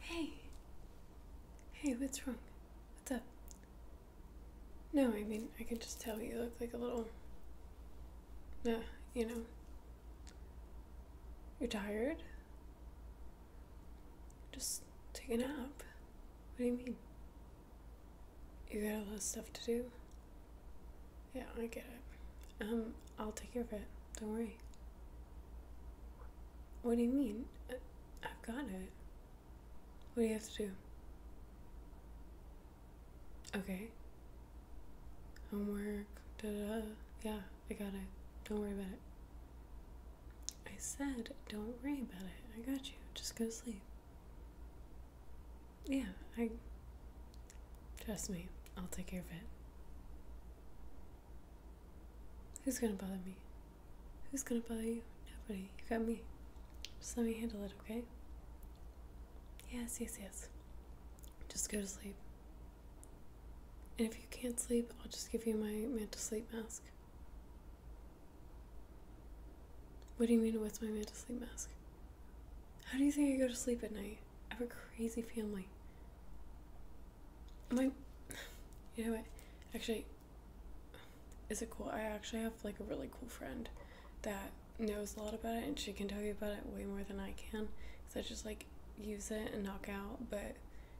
Hey. Hey, what's wrong? What's up? No, I mean, I can just tell you look like a little. Uh, you know. You're tired? Just take a nap. What do you mean? You got a lot of stuff to do? Yeah, I get it. Um, I'll take care of it. Don't worry. What do you mean? Uh, I've got it. What do you have to do? Okay. Homework, da da. Yeah, I got it. Don't worry about it. I said, don't worry about it. I got you. Just go sleep. Yeah, I. Trust me, I'll take care of it. Who's gonna bother me? Who's gonna bother you? Nobody. You got me. Just let me handle it, okay? Yes, yes, yes. Just go to sleep. And if you can't sleep, I'll just give you my mental sleep mask. What do you mean, what's my mental sleep mask? How do you think I go to sleep at night? I have a crazy family. My, you know what? Actually, is it cool? I actually have like a really cool friend that knows a lot about it and she can tell you about it way more than I can. Because I just like use it and knock out, but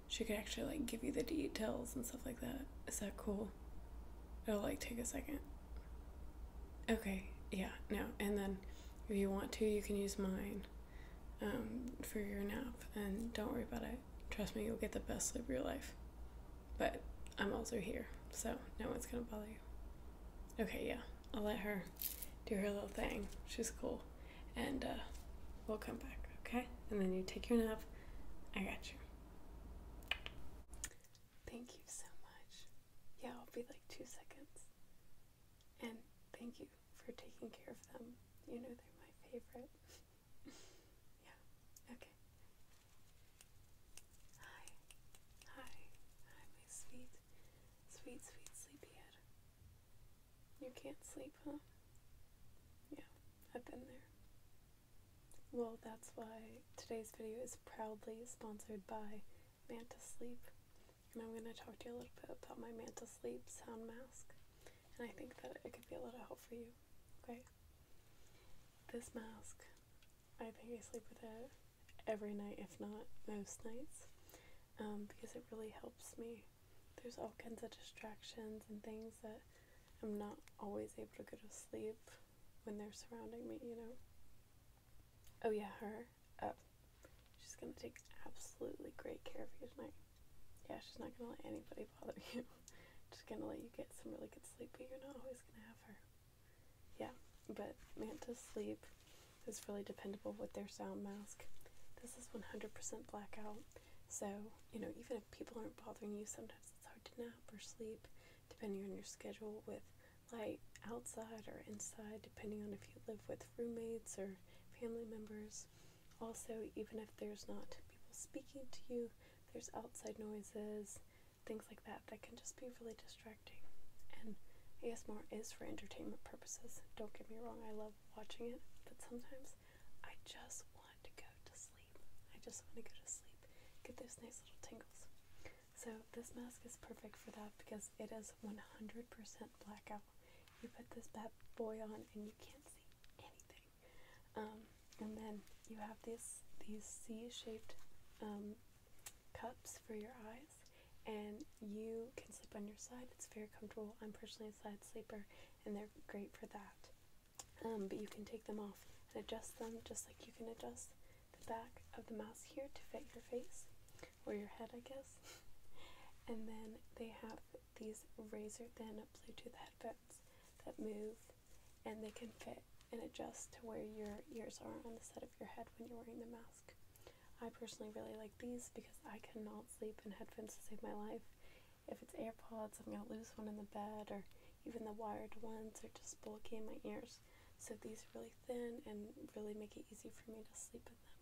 she could actually like give you the details and stuff like that. Is that cool? It'll like take a second. Okay, yeah, no. And then if you want to, you can use mine um, for your nap. And don't worry about it. Trust me, you'll get the best sleep of your life. But I'm also here, so no one's gonna bother you. Okay, yeah, I'll let her do her little thing. She's cool and uh, we'll come back, okay? And then you take your nap. I got you. Thank you so much. Yeah, I'll be like two seconds. And thank you for taking care of them. You know, they're my favorite. yeah, okay. Hi. Hi. Hi, sweet, sweet, sweet sleepyhead. You can't sleep, huh? Yeah, I've been there. Well, that's why today's video is proudly sponsored by Manta Sleep. And I'm going to talk to you a little bit about my Manta Sleep sound mask. And I think that it could be a lot of help for you, okay? This mask, I think I sleep with it every night, if not most nights, um, because it really helps me there's all kinds of distractions and things that I'm not always able to go to sleep when they're surrounding me, you know. Oh yeah, her Oh, she's gonna take absolutely great care of you tonight. Yeah, she's not gonna let anybody bother you. Just gonna let you get some really good sleep, but you're not always gonna have her. Yeah, but Manta's sleep is really dependable with their sound mask. This is 100% blackout. So, you know, even if people aren't bothering you, sometimes it's hard to nap or sleep, depending on your schedule with light outside or inside, depending on if you live with roommates or family members. Also, even if there's not people speaking to you, there's outside noises, things like that, that can just be really distracting. And ASMR is for entertainment purposes. Don't get me wrong, I love watching it, but sometimes I just want to go to sleep. I just want to go to sleep. Get those nice little tingles. So this mask is perfect for that because it is 100% blackout. You put this bad boy on and you can't see anything. Um, and then you have these these C-shaped um, cups for your eyes, and you can sleep on your side. It's very comfortable. I'm personally a side sleeper, and they're great for that. Um, but you can take them off and adjust them just like you can adjust the back of the mask here to fit your face or your head, I guess. and then they have these razor thin Bluetooth headphones that move and they can fit and adjust to where your ears are on the side of your head when you're wearing the mask. I personally really like these because I cannot sleep in headphones to save my life. If it's AirPods, I'm gonna lose one in the bed, or even the wired ones are just bulky in my ears. So these are really thin and really make it easy for me to sleep with them.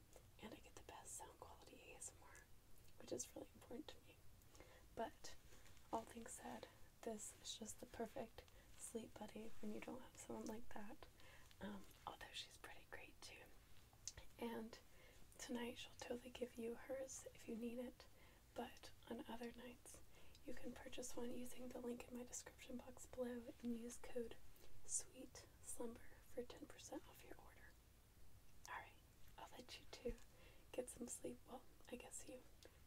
And I get the best sound quality ASMR, which is really important to me. But all things said, this is just the perfect sleep buddy when you don't have someone like that. Um, although she's pretty great too. And tonight she'll totally give you hers if you need it, but on other nights you can purchase one using the link in my description box below and use code SWEET SLUMBER for 10% off your order. Alright, I'll let you two get some sleep. Well, I guess you,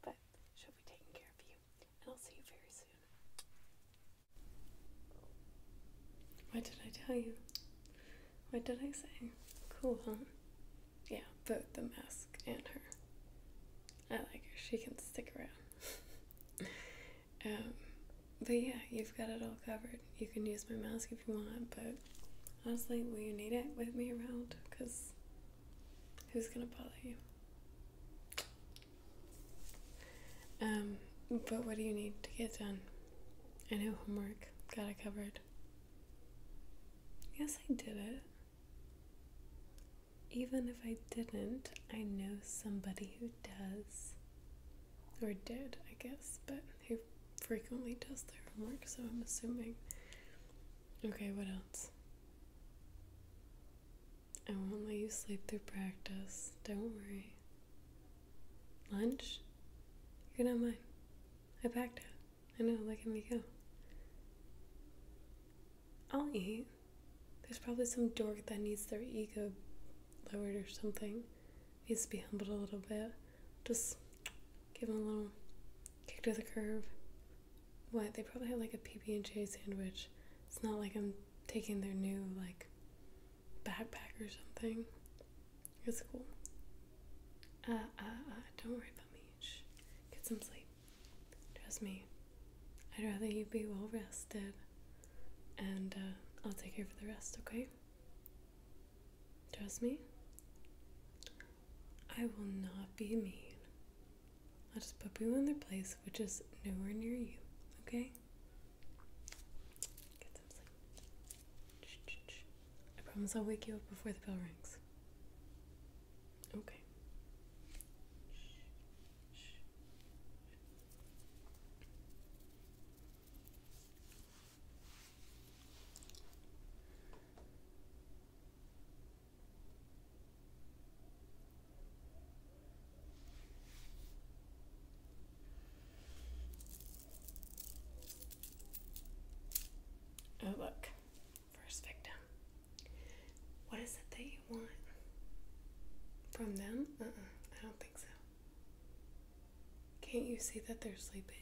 but she'll be taking care of you, and I'll see you very soon. What did I tell you? What did I say? Cool, huh? Yeah, both the mask and her. I like her. She can stick around. um, but yeah, you've got it all covered. You can use my mask if you want, but honestly, will you need it with me around? Because who's gonna bother you? Um, but what do you need to get done? I know homework. Got it covered. Yes, I did it. Even if I didn't, I know somebody who does. Or did, I guess, but who frequently does their homework, so I'm assuming. Okay, what else? I won't let you sleep through practice. Don't worry. Lunch? You're going not mine. I packed it. I know, look at me go. I'll eat. There's probably some dork that needs their ego lowered or something. Needs to be humbled a little bit. Just give them a little kick to the curve. What? They probably had like a PB and J sandwich. It's not like I'm taking their new like backpack or something. It's cool. Uh, uh, uh, don't worry about me. Get some sleep. Trust me. I'd rather you be well rested. And uh, I'll take care of the rest, okay? Trust me. I will not be mean. I'll just put you in their place, which is nowhere near you, okay? Get some sleep. I promise I'll wake you up before the bell rings. Okay. Oh, look. First victim. What is it that you want? From them? Uh uh I don't think so. Can't you see that they're sleeping?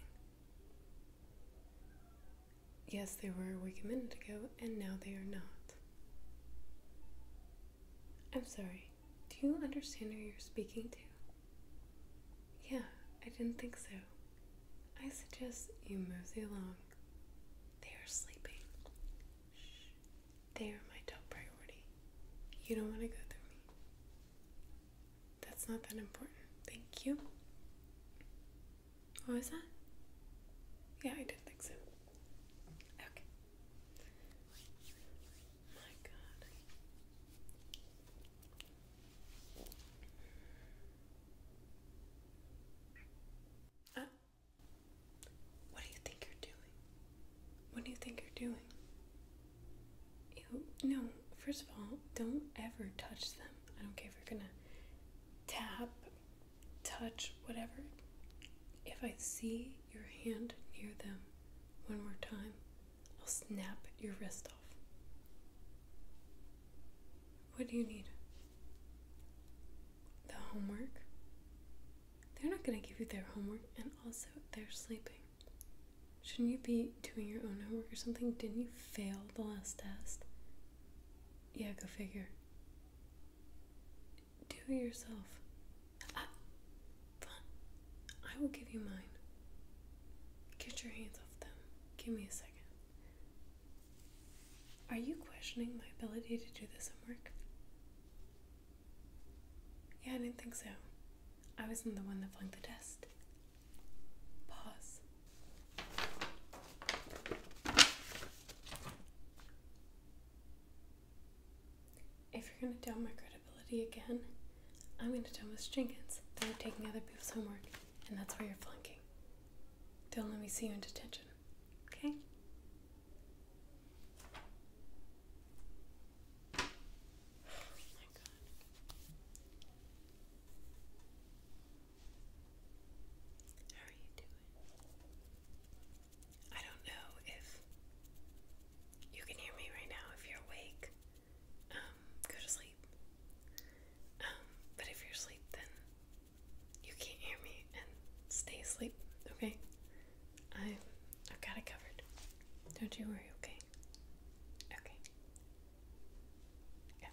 Yes, they were awake a minute ago, and now they are not. I'm sorry. Do you understand who you're speaking to? Yeah, I didn't think so. I suggest you mosey along. They are sleeping. Shh. They are my top priority. You don't want to go through me. That's not that important. Thank you. What was that? Yeah, I didn't think so. Okay. Oh my God. what do you think you're doing? What do you think you're doing? You no, first of all, don't ever touch them. I don't care if you're gonna tap, touch, whatever. If I see your hand near them one more time, I'll snap your wrist off. What do you need? The homework? They're not going to give you their homework, and also they're sleeping. Shouldn't you be doing your own homework or something? Didn't you fail the last test? Yeah, go figure. Do it yourself. I will give you mine. Get your hands off them. Give me a second. Are you questioning my ability to do this homework? Yeah, I didn't think so. I wasn't the one that flunked the test. Pause. If you're gonna doubt my credibility again, I'm gonna tell Miss Jenkins that you're taking other people's homework and that's why you're flunking. Don't let me see you in detention, okay? Oh How are you doing? I don't know if you can hear me right now if you're awake. Um, go to sleep. Um, but if you're asleep, then you can't hear me and stay asleep, okay? i have got it covered. Don't you worry, okay? Okay. Yeah.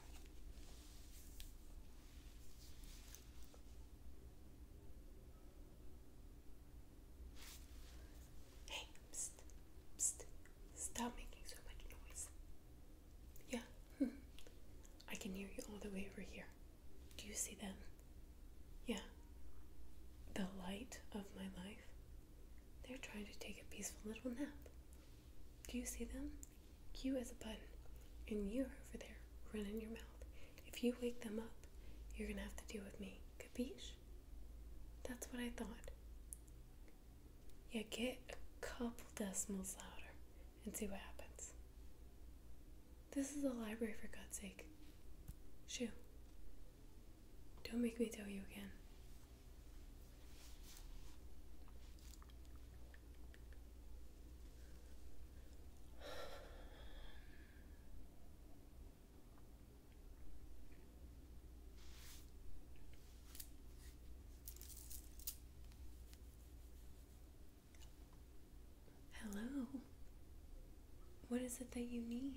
Hey, stop making so much noise. Yeah, I can hear you all the way over here. Do you see them? Yeah, the light of my life. They're trying to take a peaceful little nap. Do you see them? You as a button, and you're over there running your mouth. If you wake them up, you're gonna have to deal with me. Kabish. That's what I thought. Yeah, get a couple decimals louder and see what happens. This is a library for God's sake. Shoo. Don't make me tell you again. Hello. What is it that you need?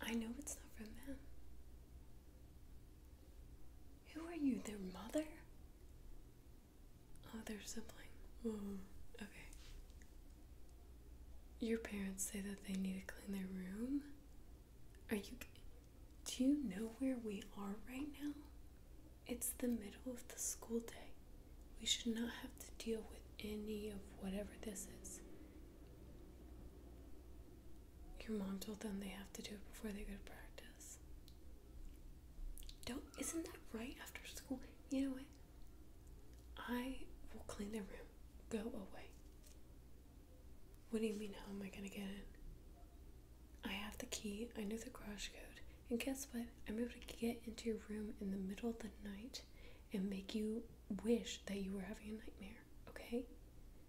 I know it's not from them. Who are you, their mother? Oh, their sibling. Oh, okay. Your parents say that they need to clean their room. Are you. Do you know where we are right now? It's the middle of the school day. We should not have to deal with any of whatever this is. Your mom told them they have to do it before they go to practice. Don't, isn't that right after school? You know what? I will clean the room. Go away. What do you mean, how am I gonna get in? I have the key, I know the garage code, and guess what? I'm able to get into your room in the middle of the night and make you wish that you were having a nightmare, okay?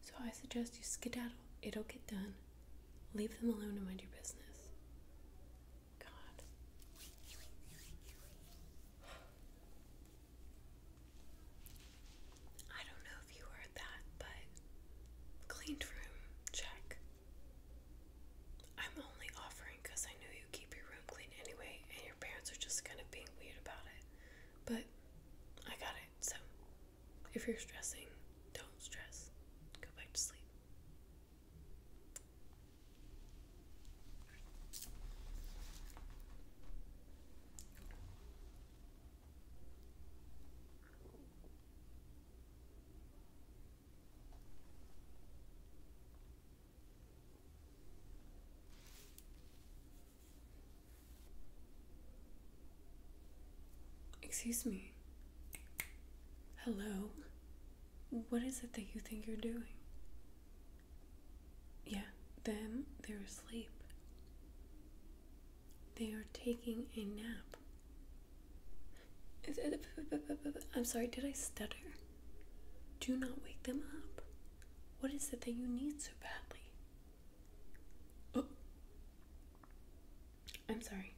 So I suggest you skedaddle. It'll get done. Leave them alone and mind your business. God. I don't know if you heard that, but cleaned room check. I'm only offering because I know you keep your room clean anyway, and your parents are just kind of being weird about it. But I got it, so if you're stressing, don't stress. Go back to sleep. Excuse me. Hello. What is it that you think you're doing? Yeah, them, they're asleep. They are taking a nap. I'm sorry, did I stutter? Do not wake them up. What is it that you need so badly? Oh. I'm sorry.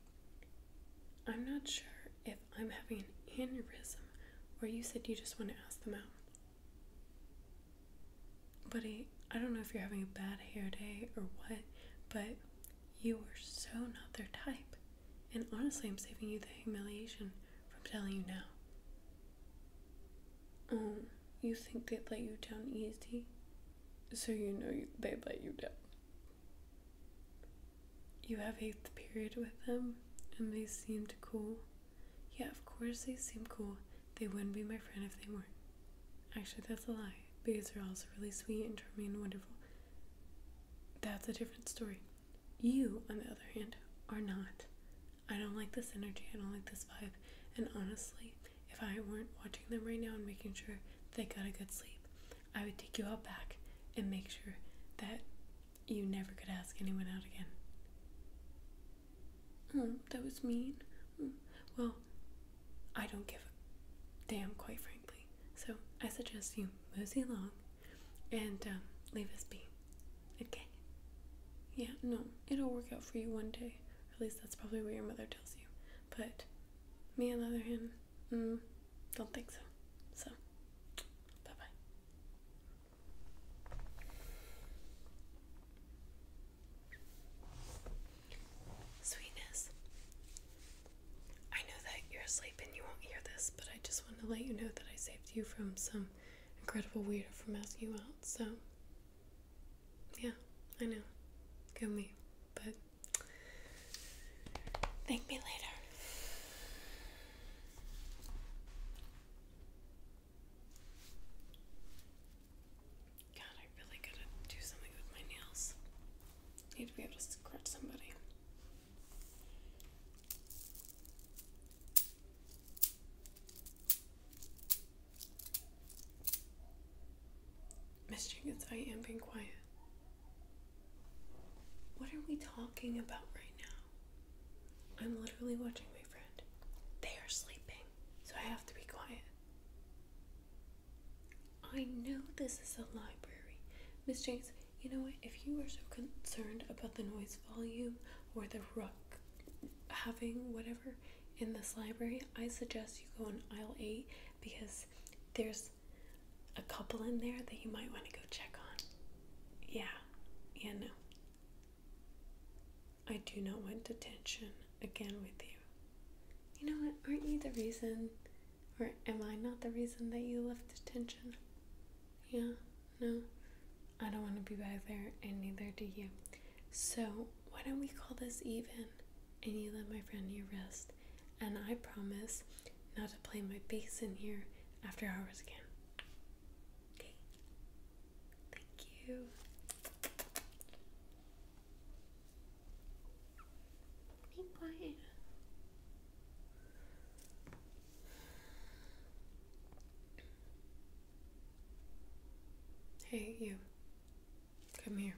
I'm not sure if I'm having an aneurysm, or you said you just want to ask them out. Buddy, I don't know if you're having a bad hair day or what, but you are so not their type. And honestly, I'm saving you the humiliation from telling you now. Oh, you think they'd let you down easy? So you know you, they'd let you down you have eighth period with them and they seemed cool. Yeah, of course they seem cool. They wouldn't be my friend if they weren't. Actually, that's a lie because they're also really sweet and charming and wonderful. That's a different story. You, on the other hand, are not. I don't like this energy. I don't like this vibe. And honestly, if I weren't watching them right now and making sure they got a good sleep, I would take you out back and make sure that you never could ask anyone out again. Oh, that was mean. Mm. Well, I don't give a damn, quite frankly. So I suggest you mosey along and um, leave us be. Okay? Yeah, no, it'll work out for you one day. At least that's probably what your mother tells you. But me, on the other hand, mm, don't think so. So, bye bye. Sweetness. I know that you're asleep and you won't hear this, but I just want to let you know that I saved you from some incredible weirdo from asking you out. So, yeah, I know. Go me. But, thank me later. God, I really gotta do something with my nails. Need to be able to scratch somebody. Miss I am being quiet. What are we talking about right now? I'm literally watching my friend. They are sleeping, so I have to be quiet. I know this is a library. Miss James, you know what? If you are so concerned about the noise volume or the ruck having whatever in this library, I suggest you go on aisle 8 because there's a couple in there that you might want to go check on. Yeah, yeah, no. I do not want detention again with you. You know what? Aren't you the reason, or am I not the reason that you left detention? Yeah, no. I don't want to be back there, and neither do you. So, why don't we call this even? And you let my friend you rest and I promise not to play my bass in here after hours again. Okay? Thank you. Be quiet. Hey, you. Come here.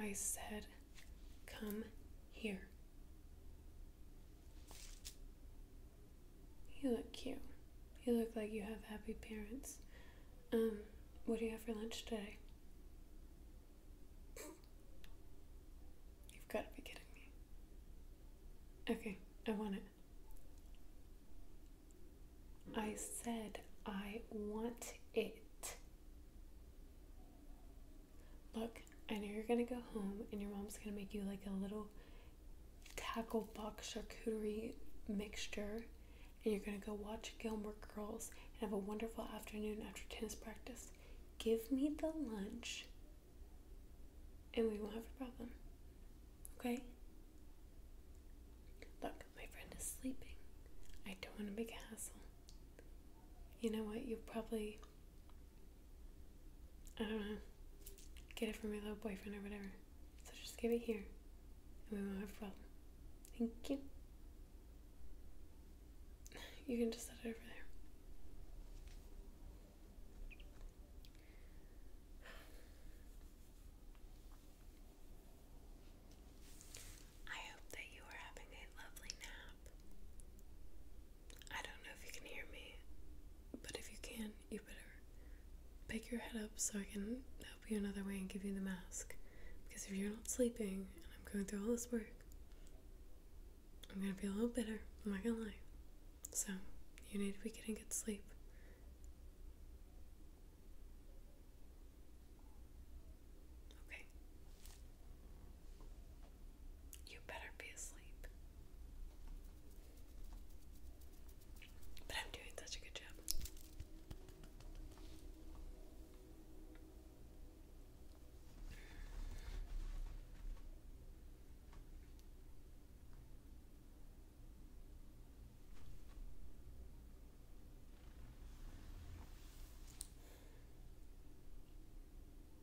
I said Come here. You look cute. You look like you have happy parents. Um, what do you have for lunch today? You've got to be kidding me. Okay, I want it. I said I want it. Look, I know you're gonna go home and your mom's gonna make you like a little tackle box charcuterie mixture, and you're gonna go watch Gilmore Girls and have a wonderful afternoon after tennis practice. Give me the lunch, and we won't have a problem. Okay? Look, my friend is sleeping. I don't want to make a hassle you know what, you'll probably, I don't know, get it from your little boyfriend or whatever. So just give it here, and we won't have a problem. Thank you. You can just set it over there. I hope that you are having a lovely nap. I don't know if you can hear me, but if you can, you better pick your head up so I can help you another way and give you the mask. Because if you're not sleeping and I'm going through all this work, I'm gonna feel a little bitter, I'm not gonna lie. So, you need to be getting good sleep. Okay. You better be asleep. But I'm doing such a good job.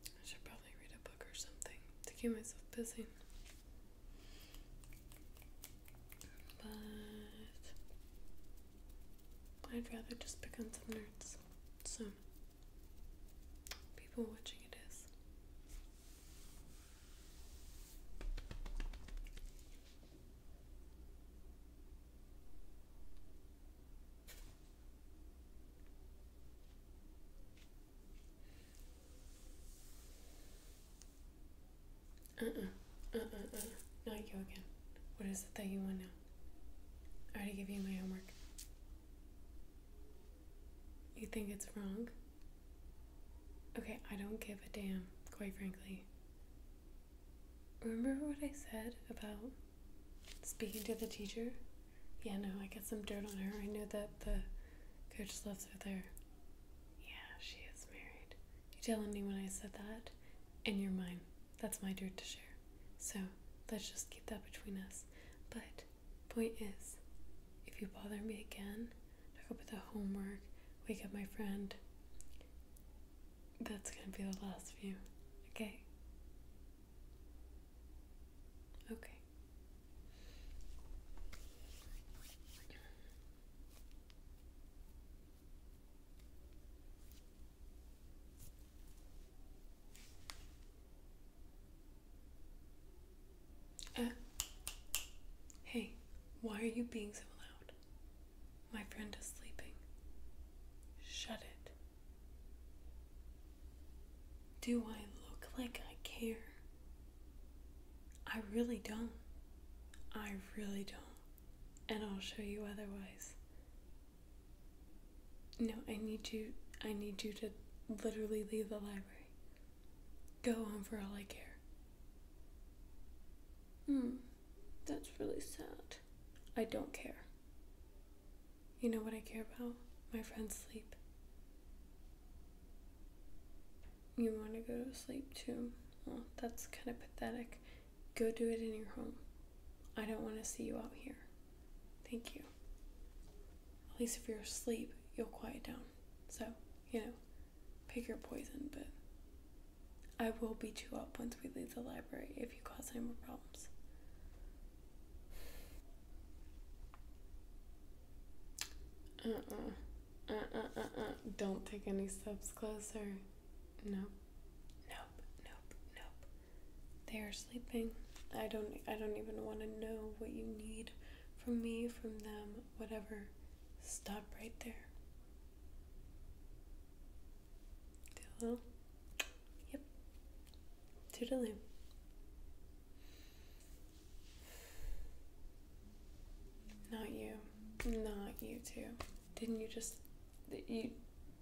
I should probably read a book or something to keep myself busy. But I'd rather just pick on some nerds. So, people watching it is. Uh-uh. uh Uh-uh. Not you again. What is it that you want now? I already gave you my homework. You think it's wrong? Okay, I don't give a damn, quite frankly. Remember what I said about speaking to the teacher? Yeah, no, I got some dirt on her. I know that the coach loves her there. Yeah, she is married. You telling me when I said that, and you're mine. That's my dirt to share. So let's just keep that between us. But point is, if you bother me again, talk about the homework, wake up my friend, that's going to be the last view. Okay. Okay. Uh, hey, why are you being so loud? My friend is sleeping. Shut it. Do I look like I care? I really don't. I really don't. And I'll show you otherwise. No, I need you I need you to literally leave the library. Go on for all I care. Hmm. That's really sad. I don't care. You know what I care about? My friend's sleep. You want to go to sleep too? Well, that's kind of pathetic. Go do it in your home. I don't want to see you out here. Thank you. At least if you're asleep, you'll quiet down. So, you know, pick your poison, but I will beat you up once we leave the library if you cause any more problems. Uh-uh. uh uh Don't take any steps closer. Nope. Nope. Nope. Nope. They are sleeping. I don't I don't even want to know what you need from me, from them, whatever. Stop right there. Do a little. Yep. Toodaloo. Not you. Not you too. Didn't you just you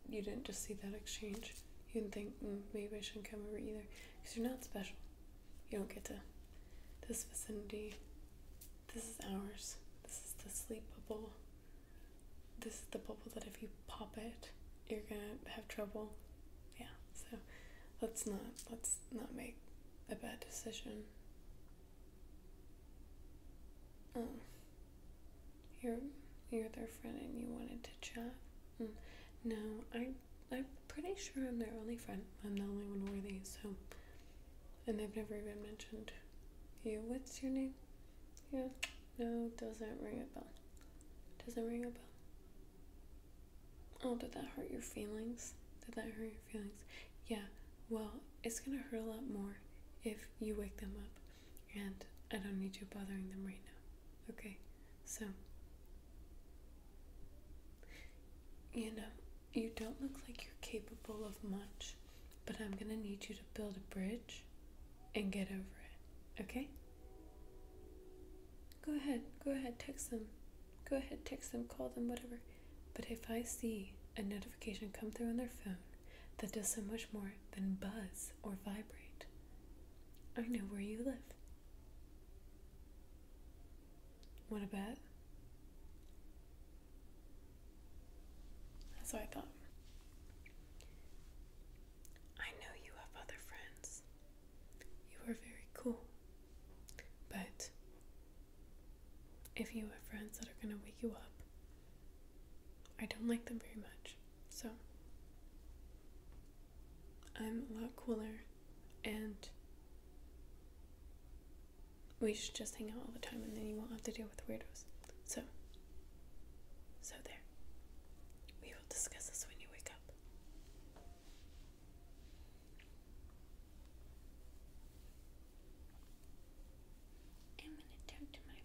you didn't just see that exchange. You did think mm, maybe I shouldn't come over either because you're not special. You don't get to this vicinity. This is ours. This is the sleepable this is the bubble that if you pop it, you're gonna have trouble. Yeah, so let's not let's not make a bad decision. Um, you're you're their friend and you wanted to chat. Mm, no, I I'm pretty sure I'm their only friend. I'm the only one worthy, so and they have never even mentioned you. What's your name? Yeah. No, doesn't ring a bell. Doesn't ring a bell. Oh, did that hurt your feelings? Did that hurt your feelings? Yeah, well, it's gonna hurt a lot more if you wake them up. And I don't need you bothering them right now. Okay, so. You know, you don't look like you're capable of much. But I'm gonna need you to build a bridge and get over it, okay? Go ahead, go ahead, text them. Go ahead, text them, call them, whatever. But if I see a notification come through on their phone that does so much more than buzz or vibrate, I know where you live. What about? That's what I thought. I know you have other friends. You are very cool. But if you have friends that are going to wake you up, I don't like them very much. So I'm a lot cooler and we should just hang out all the time and then you won't have to deal with weirdos. So, so there. We will discuss this when you wake up. I'm going to turn to my friend.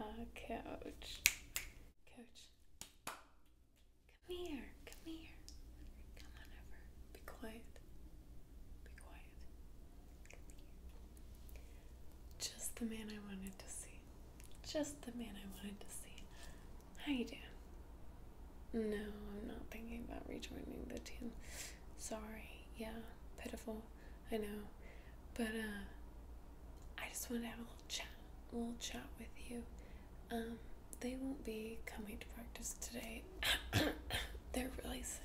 Uh, coach. Coach. Come here. Come here. Come on over. Be quiet. Be quiet. Just the man I wanted to see. Just the man I wanted to see. How you doing? No, I'm not thinking about rejoining the team. Sorry. Yeah, pitiful. I know. But, uh, I just wanted to have a little chat. A little chat with you. Um, they won't be coming to practice today. They're really sick.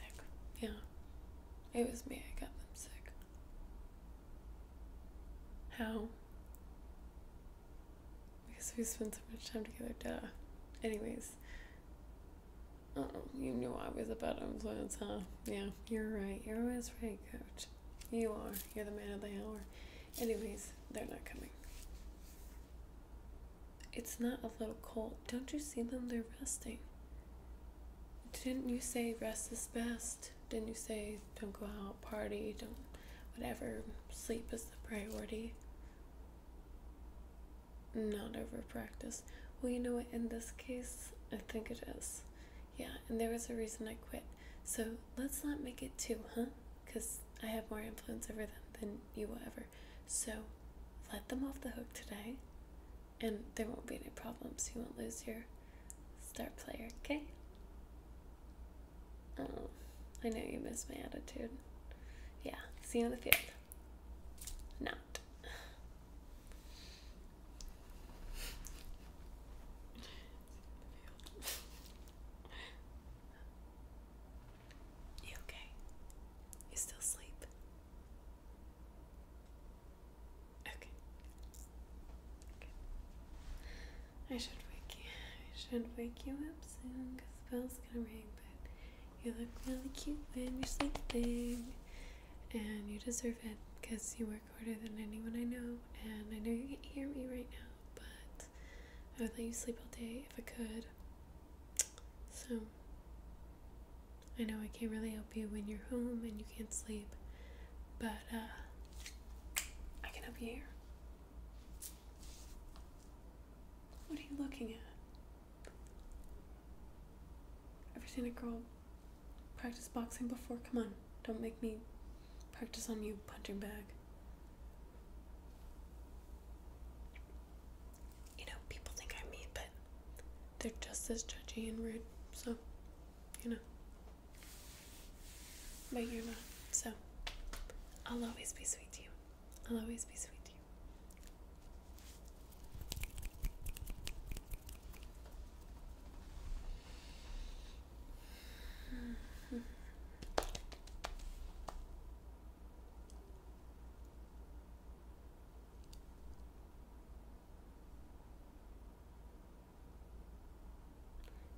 Yeah. It was me. I got them sick. How? Because we spend so much time together, duh. Anyways. Oh, you knew I was a bad influence, huh? Yeah, you're right. You're always right, coach. You are. You're the man of the hour. Anyways, they're not coming. It's not a little cold. Don't you see them? They're resting. Didn't you say rest is best? list. Didn't you say don't go out, party, don't whatever, sleep is the priority? Not over practice. Well, you know what, in this case, I think it is. Yeah, and there was a reason I quit. So let's not make it too, huh? Because I have more influence over them than you will ever. So let them off the hook today. And there won't be any problems. You won't lose your star player, okay? Oh, I know you miss my attitude. Yeah, see you on the field. Not. You okay? You still sleep? Okay. I should wake you. I should wake you up soon because the bell's gonna ring. But you look really cute when you're sleeping, and you deserve it because you work harder than anyone I know. And I know you can't hear me right now, but I would let you sleep all day if I could. So I know I can't really you when you're home and you can't sleep, but uh, I can help you here. What are you looking at? Ever seen a girl practice boxing before? Come on, don't make me practice on you, punching bag. You know, people think I'm mean, but they're just as judgy and rude, so, you know. But you're not. So I'll always be sweet to you. I'll always be sweet to you.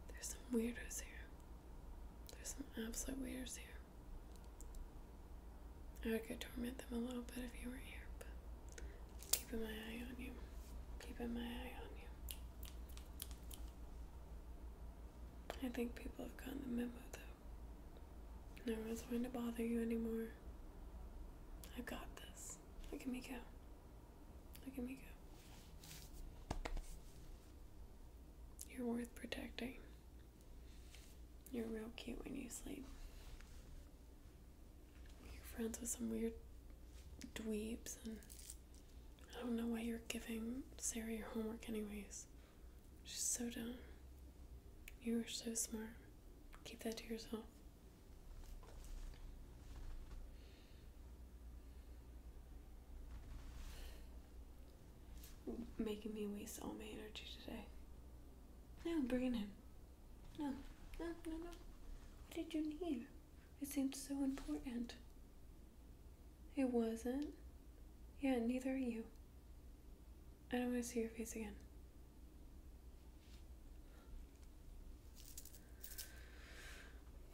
There's some weirdos here. There's some absolute weirdos here. I could torment them a little bit if you weren't here, but keeping my eye on you. Keeping my eye on you. I think people have gotten the memo though. No one's going to bother you anymore. I got this. Look at me go. Look at me go. You're worth protecting. You're real cute when you sleep. You're friends with some weird dweebs, and I don't know why you're giving Sarah your homework, anyways. She's so dumb. You are so smart. Keep that to yourself. Making me waste all my energy today. No, bring it in. No, no, no, no. What did you need? It seemed so important. It wasn't. Yeah, neither are you. I don't want to see your face again.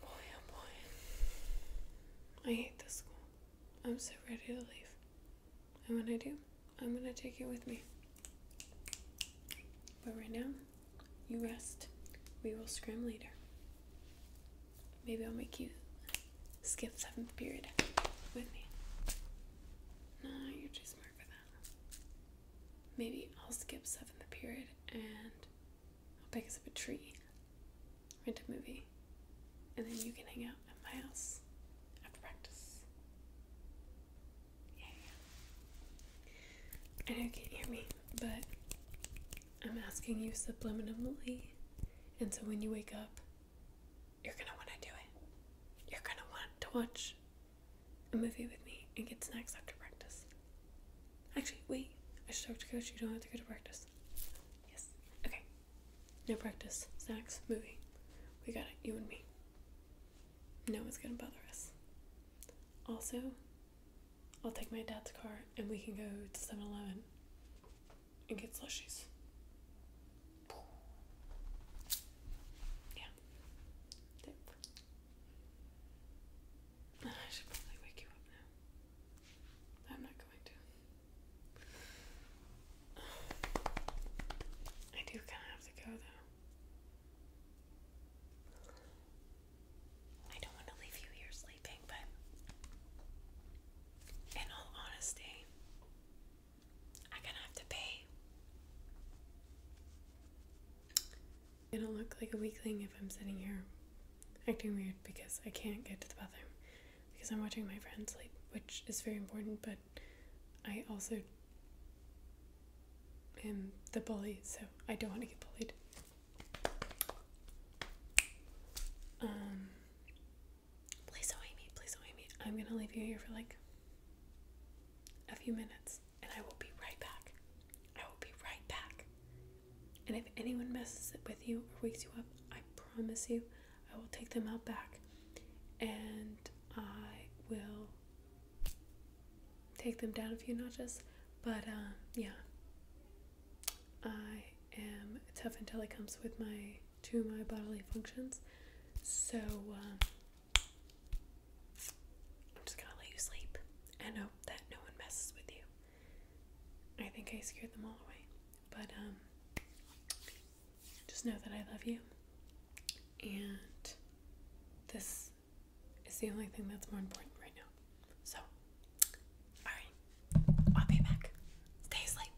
Boy, oh boy. I hate this school. I'm so ready to leave. And when I do, I'm gonna take you with me. But right now, you rest. We will scram later. Maybe I'll make you skip seventh period with me. No, you're too smart for that. Maybe I'll skip seventh period and I'll pick us up a tree, rent a movie, and then you can hang out at my house after practice. Yeah. I know you can't hear me, but I'm asking you subliminally, and so when you wake up, you're gonna wanna do it. You're gonna want to watch a movie with me and get snacks after practice. Actually, wait, I should have to coach. You don't have to go to practice. Yes. Okay. No practice, snacks, movie. We got it, you and me. No one's gonna bother us. Also, I'll take my dad's car and we can go to 7 Eleven and get slushies. Yeah. I should probably wake you up now. I'm not going to. I do kind of have to go though. I don't want to leave you here sleeping, but in all honesty, I'm going have to pay. I don't look like a weakling if I'm sitting here acting weird because I can't get to the bathroom because I'm watching my friends sleep, which is very important, but I also am the bully, so I don't want to get bullied. Um, please don't hate me, please don't hate me. I'm gonna leave you here for like a few minutes and I will be right back. I will be right back. And if anyone messes it with you or wakes you up, I promise you I will take them out back and I will take them down a few notches. But um, yeah, I am tough until it comes with my to my bodily functions. So um, I'm just gonna let you sleep and hope that no one messes with you. I think I scared them all away. But, um, just know that I love you. And this is the only thing that's more important right now. So, alright, I'll be back. Stay asleep.